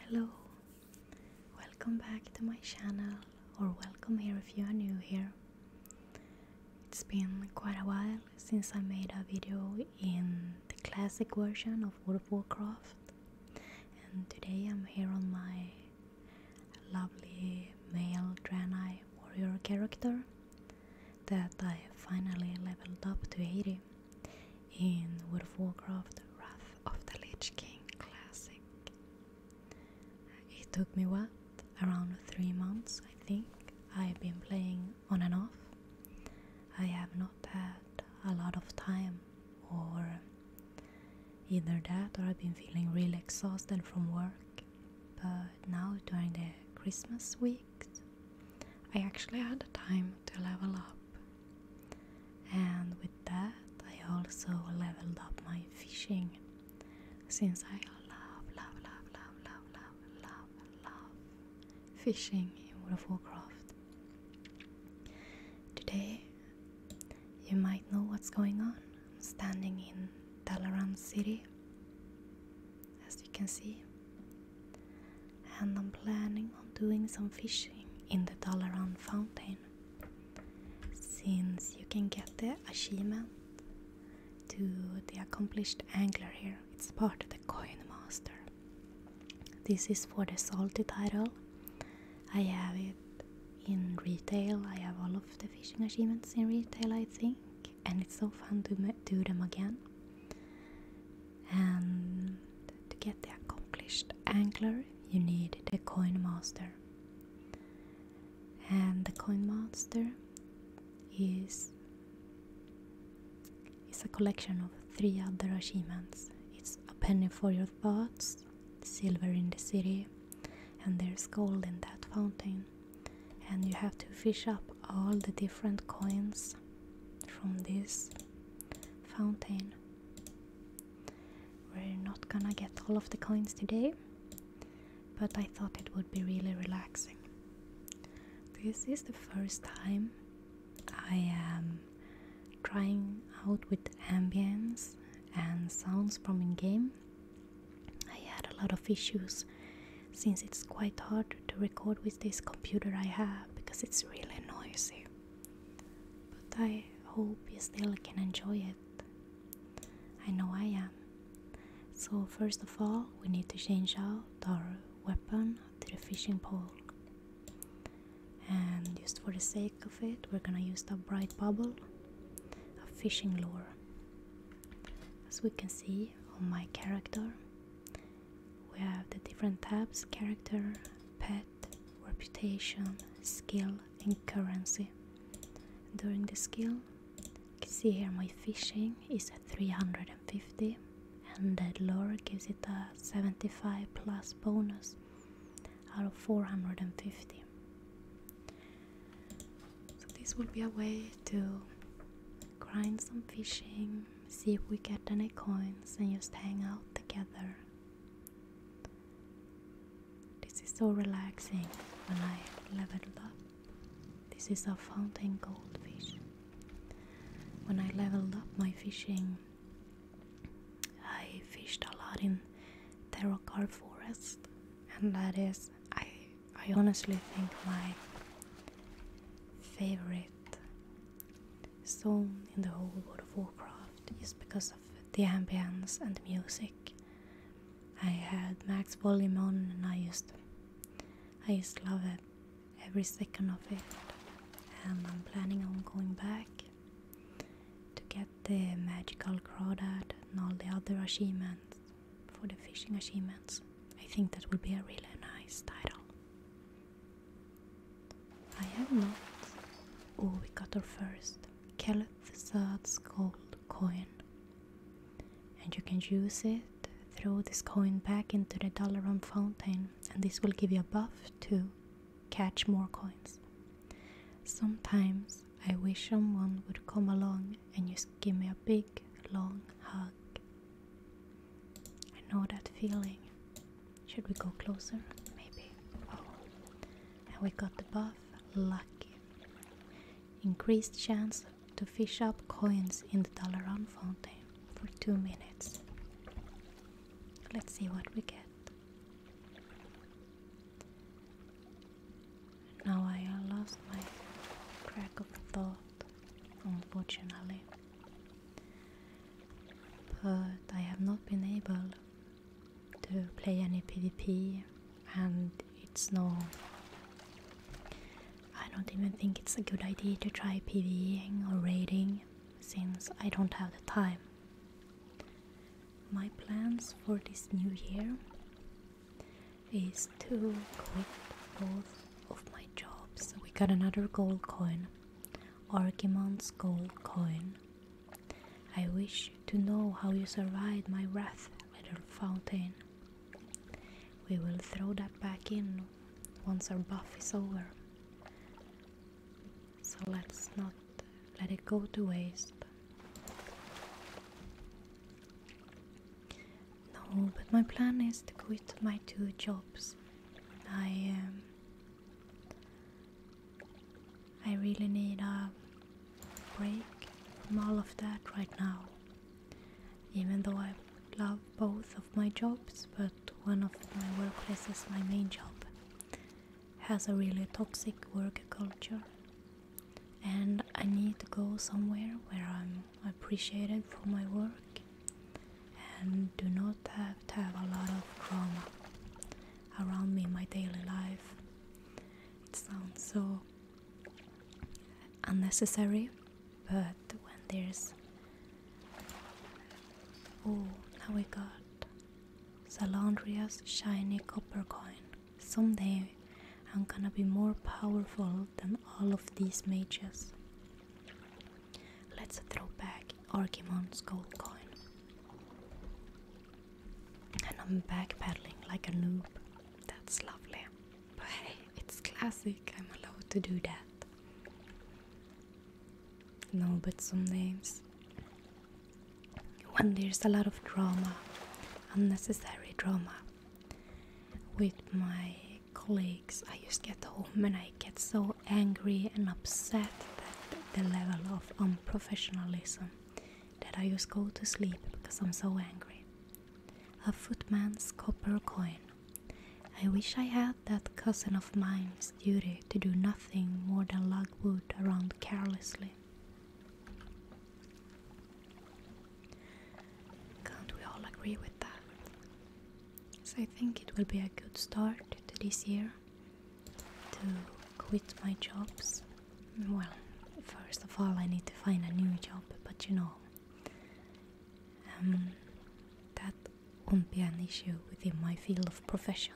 Hello, welcome back to my channel, or welcome here if you are new here. It's been quite a while since I made a video in the classic version of World of Warcraft, and today I'm here on my lovely male Draenei warrior character that I finally leveled up to 80 in World of Warcraft Wrath of the Lich King Classic. It took me what? Around three months, I think. I've been playing on and off. I have not had a lot of time, or either that, or I've been feeling really exhausted from work. But now, during the Christmas weeks, I actually had the time to level up and with that I also leveled up my fishing since I love love love love love love love love fishing in World of Warcraft. Today you might know what's going on. I'm standing in Dalaran City as you can see and I'm planning on doing some fishing in the Dalaran fountain since you can get the achievement to the accomplished angler here. It's part of the coin master. This is for the salty title. I have it in retail. I have all of the fishing achievements in retail, I think, and it's so fun to do them again and to get the accomplished angler you need the coin master and the coin master is is a collection of three other achievements it's a penny for your thoughts silver in the city and there's gold in that fountain and you have to fish up all the different coins from this fountain we're not gonna get all of the coins today, but I thought it would be really relaxing. This is the first time I am trying out with ambience and sounds from in game. I had a lot of issues since it's quite hard to record with this computer I have because it's really noisy. But I hope you still can enjoy it. I know I am. So, first of all, we need to change out our weapon to the fishing pole. And just for the sake of it, we're gonna use the bright bubble, a fishing lure. As we can see on my character, we have the different tabs character, pet, reputation, skill, and currency. During the skill, see here my fishing is at 350 and that lure gives it a 75 plus bonus out of 450. So this will be a way to grind some fishing, see if we get any coins and just hang out together this is so relaxing when I leveled up. This is a fountain goldfish. When I leveled up my fishing, I fished a lot in Terracar Forest, and that is, I, I honestly think my favorite song in the whole World of Warcraft is because of the ambience and the music. I had max volume on and I used I just love it every second of it and I'm planning on going back to get the magical crawdad and all the other achievements for the fishing achievements. I think that would be a really nice title. I have not. Oh, we got our first Caliph Sad's gold coin. And you can use it, throw this coin back into the Dalaran fountain, and this will give you a buff to catch more coins. Sometimes I wish someone would come along and just give me a big long hug. I know that feeling. Should we go closer? Maybe. Oh. And we got the buff. Lucky. Increased chance to fish up coins in the Dalaran fountain for two minutes. Let's see what we get. Now I lost my track of thought, unfortunately but I have not been able to play any PvP and it's no I don't even think it's a good idea to try PvE or raiding since I don't have the time. My plans for this new year is to quit both of my jobs. We got another gold coin Orchimon's gold coin. I wish to know how you survived my wrath, little fountain. We will throw that back in once our buff is over. So let's not let it go to waste. No, but my plan is to quit my two jobs. I um, I really need a break from all of that right now. Even though I love both of my jobs, but one of my workplaces, my main job, has a really toxic work culture. And I need to go somewhere where I'm appreciated for my work and do not have to have a lot of drama around me in my daily life. It sounds so unnecessary, but when there's oh, now we got Salandria's shiny copper coin. Someday I'm gonna be more powerful than all of these mages. Let's throw back Archimon's gold coin. And I'm backpedaling like a noob. That's lovely. But hey, it's classic. I'm allowed to do that. No, but some names. When there's a lot of drama, unnecessary drama, with my colleagues, I just get home and I get so angry and upset at the level of unprofessionalism that I just go to sleep because I'm so angry. A footman's copper coin. I wish I had that cousin of mine's duty to do nothing more than lug wood around carelessly. Can't we all agree with that? So I think it will be a good start to this year to quit my jobs. Well, first of all, I need to find a new job, but you know, um, that won't be an issue within my field of profession.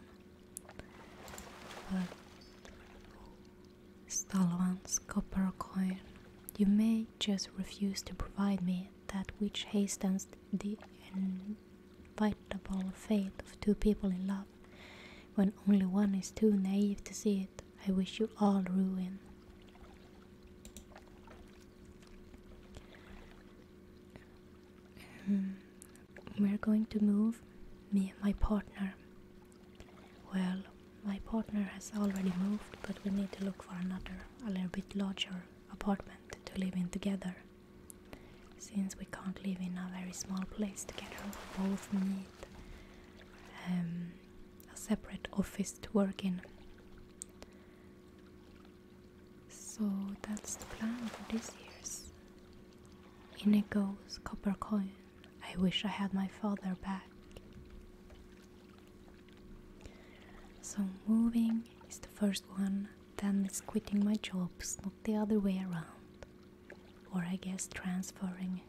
But Stalovans, copper coin, you may just refuse to provide me that which hastens the inevitable fate of two people in love, when only one is too naive to see it. I wish you all ruin. Hmm. We're going to move, me and my partner. Well, my partner has already moved, but we need to look for another, a little bit larger apartment to live in together. Since we can't live in a very small place together, we both need um, a separate office to work in. So that's the plan for this year's. In Inigo's copper coin. I wish I had my father back. So moving is the first one then it's quitting my jobs, not the other way around. Or I guess transferring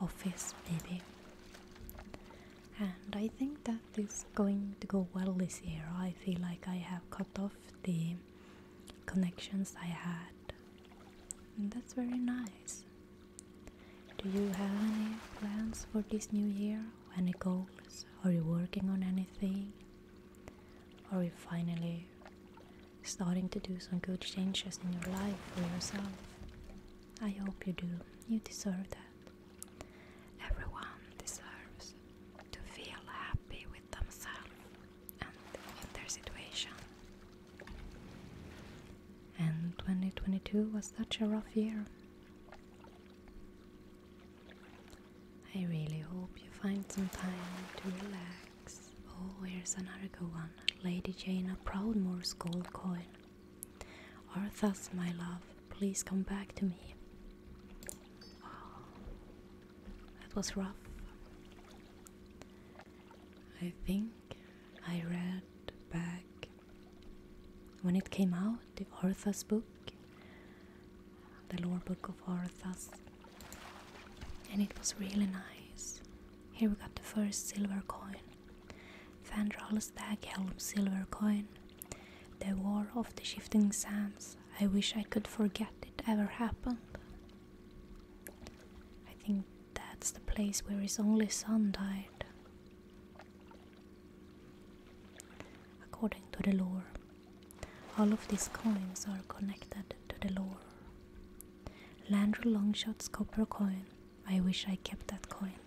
office, maybe. And I think that is going to go well this year. I feel like I have cut off the connections I had. And that's very nice. Do you have any plans for this new year? Any goals? Are you working on anything? Are you finally starting to do some good changes in your life for yourself? I hope you do. You deserve that. Everyone deserves to feel happy with themselves and in their situation. And 2022 was such a rough year. I really hope you find some time to relax. Oh, here's another good one Lady Jane of Proudmore's gold coin. Arthur's, my love, please come back to me. Oh, that was rough. I think I read back when it came out, the Orthas book, the lore book of Orthas, and it was really nice. Here we got the first silver coin, Fandral Staghelm silver coin. The War of the Shifting Sands. I wish I could forget it ever happened. I think that's the place where his only son died. According to the lore, all of these coins are connected to the lore. Landry Longshot's copper coin. I wish I kept that coin.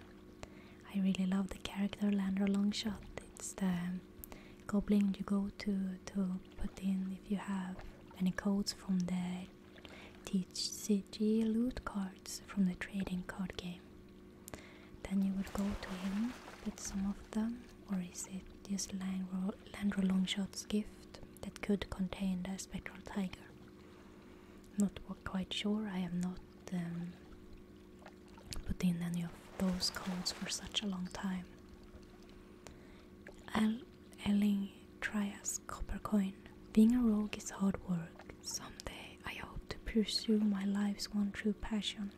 I really love the character Landry Longshot. It's the goblin you go to to put in if you have any codes from the CG loot cards from the trading card game. Then you would go to him with some of them, or is it this Landro, Longshot's gift that could contain the spectral tiger? Not quite sure, I am not um, putting any of those codes for such a long time. Al Elling Trias Copper Coin. Being a rogue is hard work. Someday I hope to pursue my life's one true passion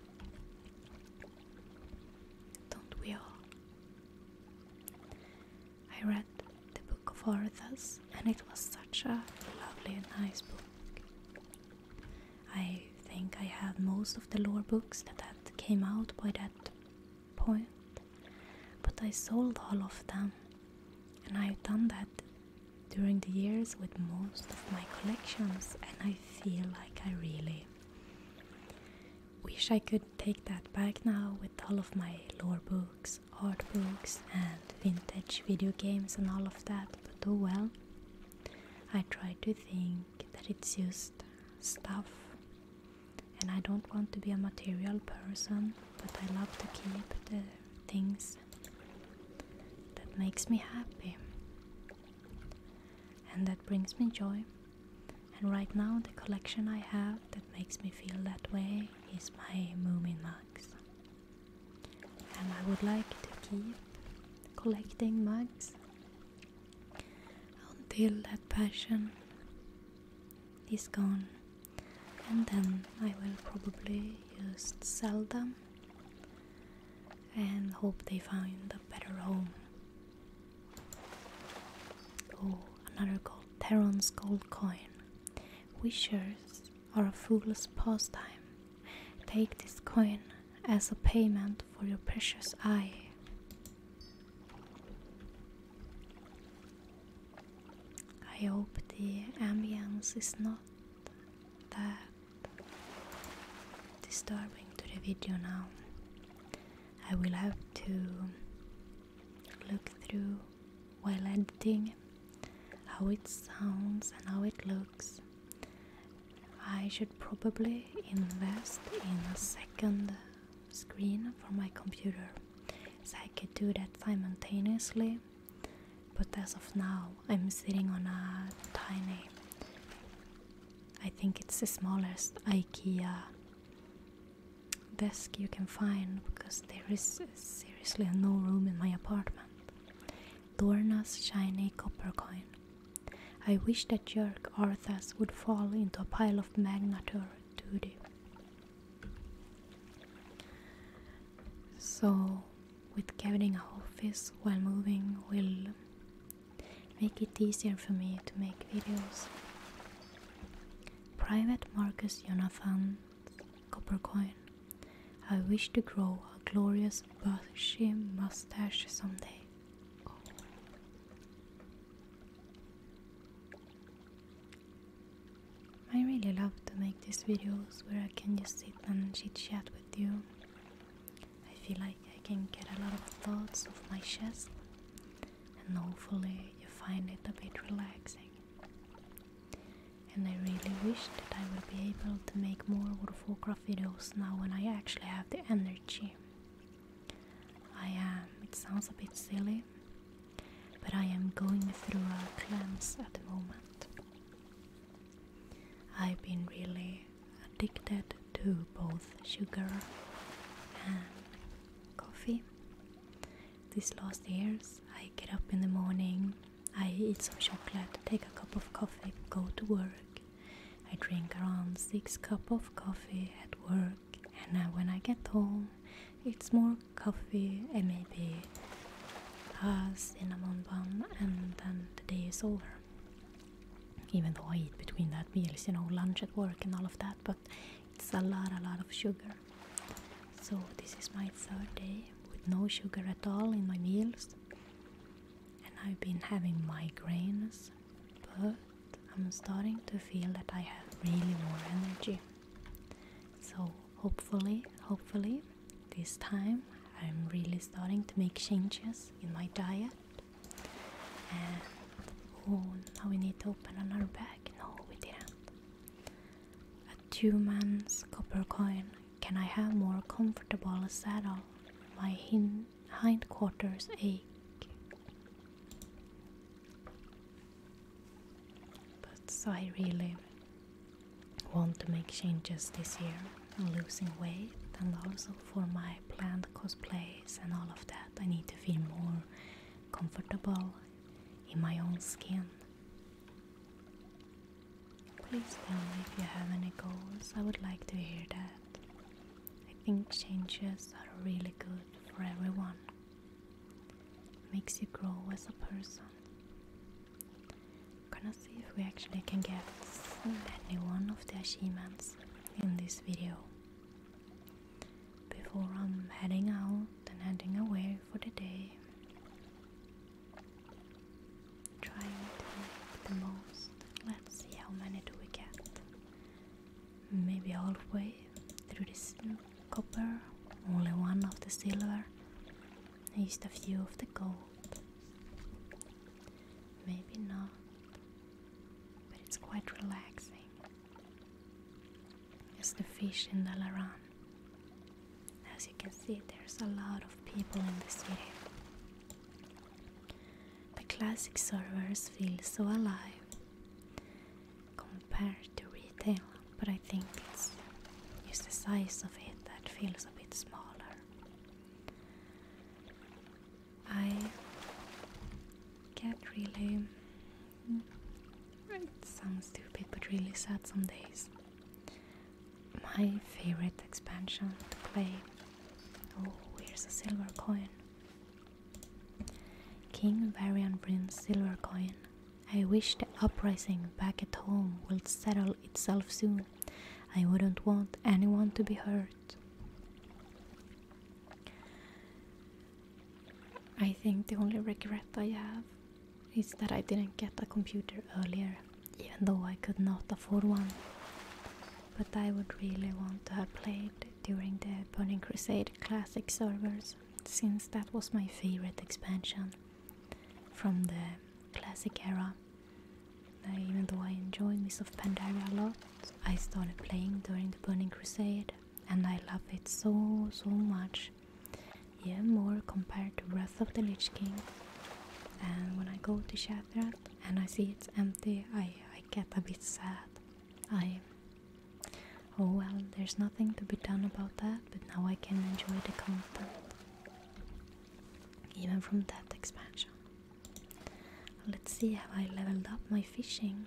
don't we all? I read the Book of Orthas and it was such a lovely and nice book. I think I had most of the lore books that had came out by that point, but I sold all of them and I've done that during the years with most of my collections and I feel like I really wish I could take that back now with all of my lore books, art books, and vintage video games and all of that, but oh well. I try to think that it's just stuff, and I don't want to be a material person, but I love to keep the things that makes me happy and that brings me joy. And right now, the collection I have that makes me feel that way is my Moomin mugs. And I would like to keep collecting mugs until that passion is gone. And then I will probably just sell them and hope they find a better home. Oh, another gold Terran's gold coin. Wishers are a fool's pastime. Take this coin as a payment for your precious eye. I hope the ambience is not that disturbing to the video now. I will have to look through while editing how it sounds and how it looks. I should probably invest in a second screen for my computer so I could do that simultaneously. But as of now, I'm sitting on a tiny I think it's the smallest IKEA desk you can find because there is seriously no room in my apartment. Dorna's shiny copper coin. I wish that jerk Arthas would fall into a pile of magnator duty. So, with getting a office while moving will make it easier for me to make videos. Private Marcus Jonathan Coppercoin. I wish to grow a glorious bushy mustache someday. I really love to make these videos where I can just sit and chat with you I feel like I can get a lot of thoughts off my chest, and hopefully, you find it a bit relaxing. And I really wish that I would be able to make more World of Warcraft videos now when I actually have the energy. I am, it sounds a bit silly, but I am going through a cleanse at the moment. I've been really addicted to both sugar and coffee. These last years, I get up in the morning, I eat some chocolate, take a cup of coffee, go to work. I drink around 6 cup of coffee at work and when I get home it's more coffee and maybe a cinnamon bun and then the day is over even though I eat between that meals, you know, lunch at work and all of that, but it's a lot, a lot of sugar. So this is my third day with no sugar at all in my meals, and I've been having migraines, but I'm starting to feel that I have really more energy. So hopefully, hopefully, this time I'm really starting to make changes in my diet oh, now we need to open another bag. No, we didn't. A two months copper coin. Can I have more comfortable saddle? My hin hindquarters ache. But I really want to make changes this year losing weight and also for my planned cosplays and all of that I need to feel more comfortable in my own skin. Please tell me if you have any goals, I would like to hear that. I think changes are really good for everyone. Makes you grow as a person. Gonna see if we actually can get any one of the achievements in this video. Before I'm heading out and heading away for the day. Trying to make the most. Let's see how many do we get. Maybe halfway through this copper. Only one of the silver. Used a few of the gold. Maybe not, but it's quite relaxing. It's the fish in the Laran. As you can see, there's a lot of people in the city. The classic servers feel so alive compared to retail, but I think it's just the size of it that feels a bit smaller. I get really. Mm, it stupid, but really sad some days. My favorite expansion to play. Oh, where's the silver coin. King Varian brings silver coin. I wish the uprising back at home will settle itself soon. I wouldn't want anyone to be hurt. I think the only regret I have is that I didn't get a computer earlier, even though I could not afford one. But I would really want to have played during the Burning Crusade Classic servers, since that was my favorite expansion from the Classic era even though I enjoy Mists of Pandaria a lot, I started playing during the Burning Crusade and I love it so, so much. Yeah, more compared to Wrath of the Lich King. And when I go to Shattered and I see it's empty, I, I get a bit sad. I. Oh well, there's nothing to be done about that, but now I can enjoy the content. Even from that expansion. Let's see how I leveled up my fishing.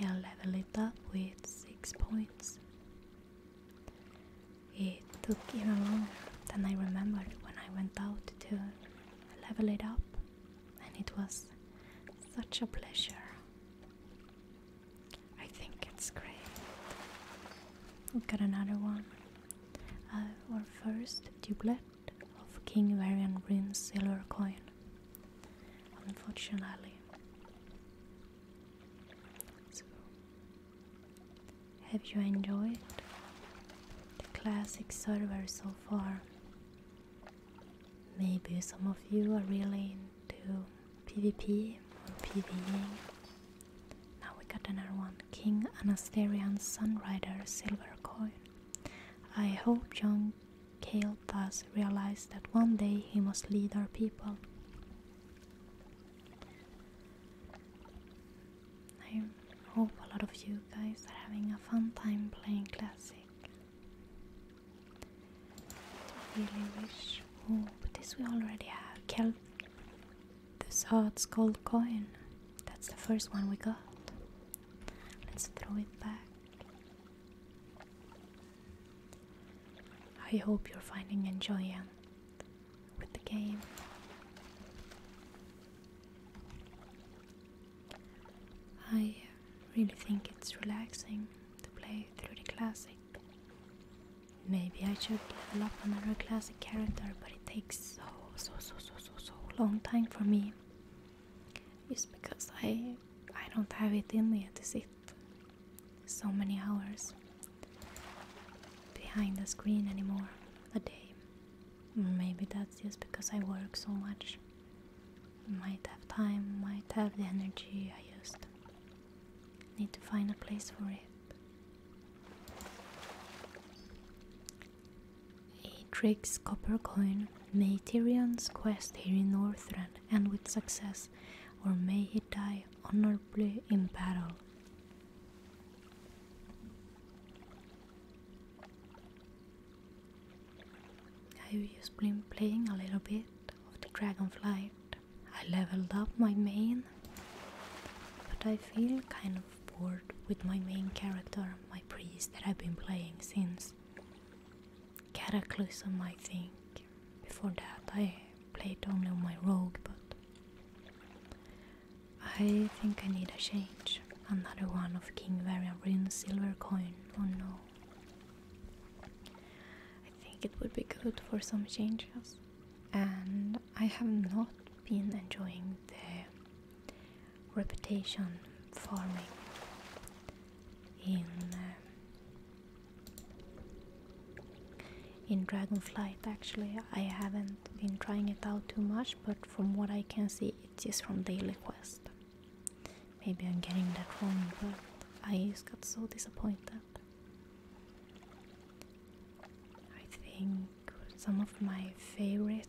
i leveled it up with 6 points. It took even longer than I remembered when I went out to level it up, and it was such a pleasure. I think it's great. We've got another one. Uh, our first doublet of King Varian Green's silver coin. Unfortunately. have you enjoyed the classic server so far? Maybe some of you are really into PvP or PvEing now we got another one King Anasterian Sunrider Silver Coin. I hope young Cale Bass realized that one day he must lead our people. I hope a lot of you guys are having a fun time playing Classic. I really wish. Oh, but this we already have. Kel this hot gold coin. That's the first one we got. Let's throw it back. I hope you're finding enjoyment with the game. I really think it's relaxing to play through the classic. Maybe I should level up another classic as character, but it takes so so so so so so long time for me. It's because I I don't have it in me to sit so many hours behind the screen anymore a day. Maybe that's just because I work so much. Might have time, might have the energy I used. Need to find a place for it. Atrix copper coin may Tyrion's quest here in Northrend end with success, or may he die honorably in battle. I've just playing a little bit of the Dragonflight. I leveled up my main, but I feel kind of bored with my main character, my priest that I've been playing since Cataclysm, I think. Before that, I played only my rogue, but I think I need a change. Another one of King Varian silver coin. Oh no. I think it would be good for some changes. And I have not been enjoying the reputation farming in uh, in Dragonflight actually I haven't been trying it out too much but from what I can see it is just from Daily Quest maybe I'm getting that wrong but I just got so disappointed I think some of my favorite.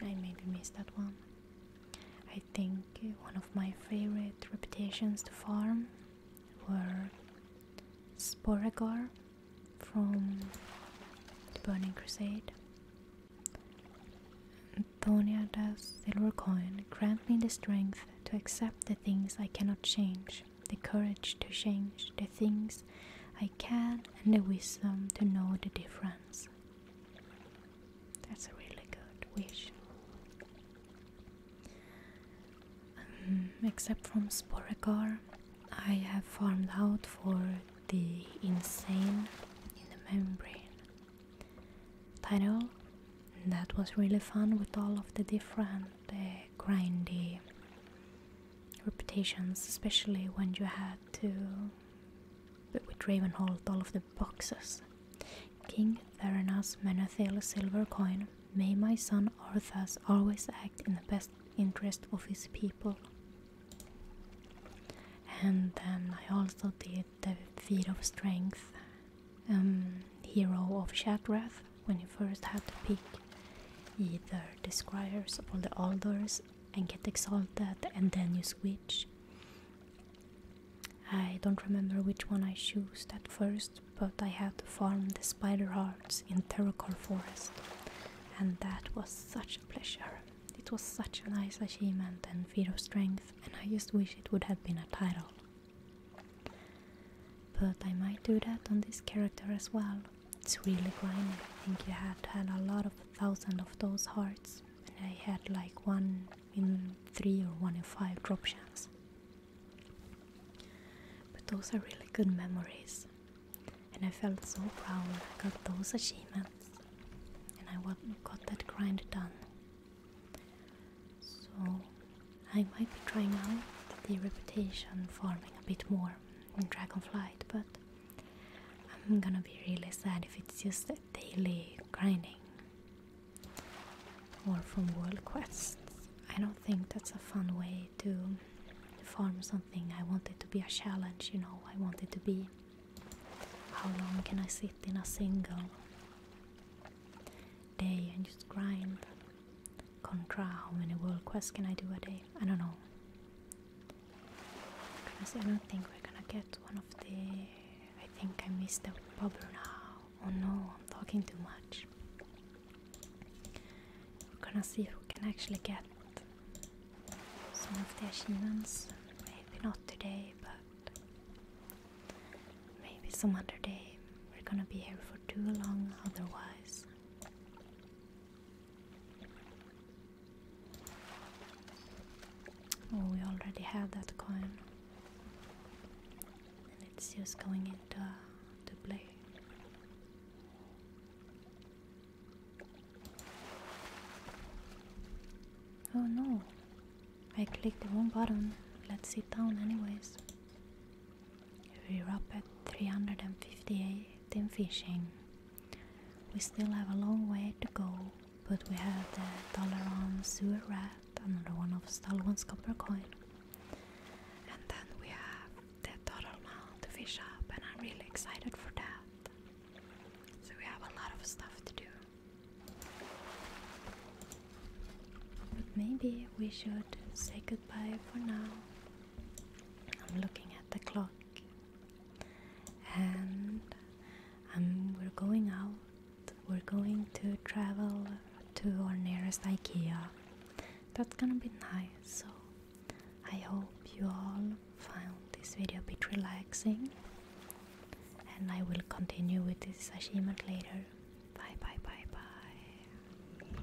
I maybe missed that one. I think one of my favorite reputations to farm were Sporagar from the Burning Crusade. Antonia does silver coin grant me the strength to accept the things I cannot change the courage to change the things I can, and the wisdom to know the difference. That's a really good wish. Um, except from Sporagar, I have farmed out for the insane in the membrane title. And that was really fun with all of the different uh, grindy reputations, especially when you had to. with Ravenhold, all of the boxes. King Theranas Menethil silver coin. May my son Arthas always act in the best interest of his people. And then I also did the feat of strength, um, hero of Shatrath, when you first have to pick either the squires or the alders and get exalted and then you switch. I don't remember which one I chose at first, but I had to farm the spider hearts in Terracor Forest, and that was such a pleasure. It was such a nice achievement and feat of strength, and I just wish it would have been a title. But I might do that on this character as well, it's really grinding. I think you had had a lot of thousand of those hearts, and I had like one in three or one in five drop chance. But those are really good memories, and I felt so proud when I got those achievements and I got that grind done. So I might be trying out the reputation farming a bit more in dragon flight, but I'm gonna be really sad if it's just a daily grinding or from world quests. I don't think that's a fun way to farm something. I want it to be a challenge, you know. I want it to be how long can I sit in a single day and just grind. Contra, how many world quests can I do a day? I don't know. Honestly, I don't think we're gonna get one of the. I think I missed the bobber now. Oh no, I'm talking too much. We're gonna see if we can actually get some of the achievements. Maybe not today, but maybe some other day. We're gonna be here for too long otherwise. Oh, we already had that coin. And it's just going into uh, to play. Oh no, I clicked the wrong button. Let's sit down, anyways. We're up at 358 in fishing. We still have a long way to go, but we have the Dalaran sewer rat, another one of Stalwon's copper coin. And then we have the Doralman to fish up, and I'm really excited for that. So we have a lot of stuff to do. But maybe we should say goodbye for now. I'm looking at the clock and we're going out. We're going to travel to our nearest IKEA. That's gonna be nice. So I hope you all found this video a bit relaxing. And I will continue with this achievement later. Bye bye bye bye.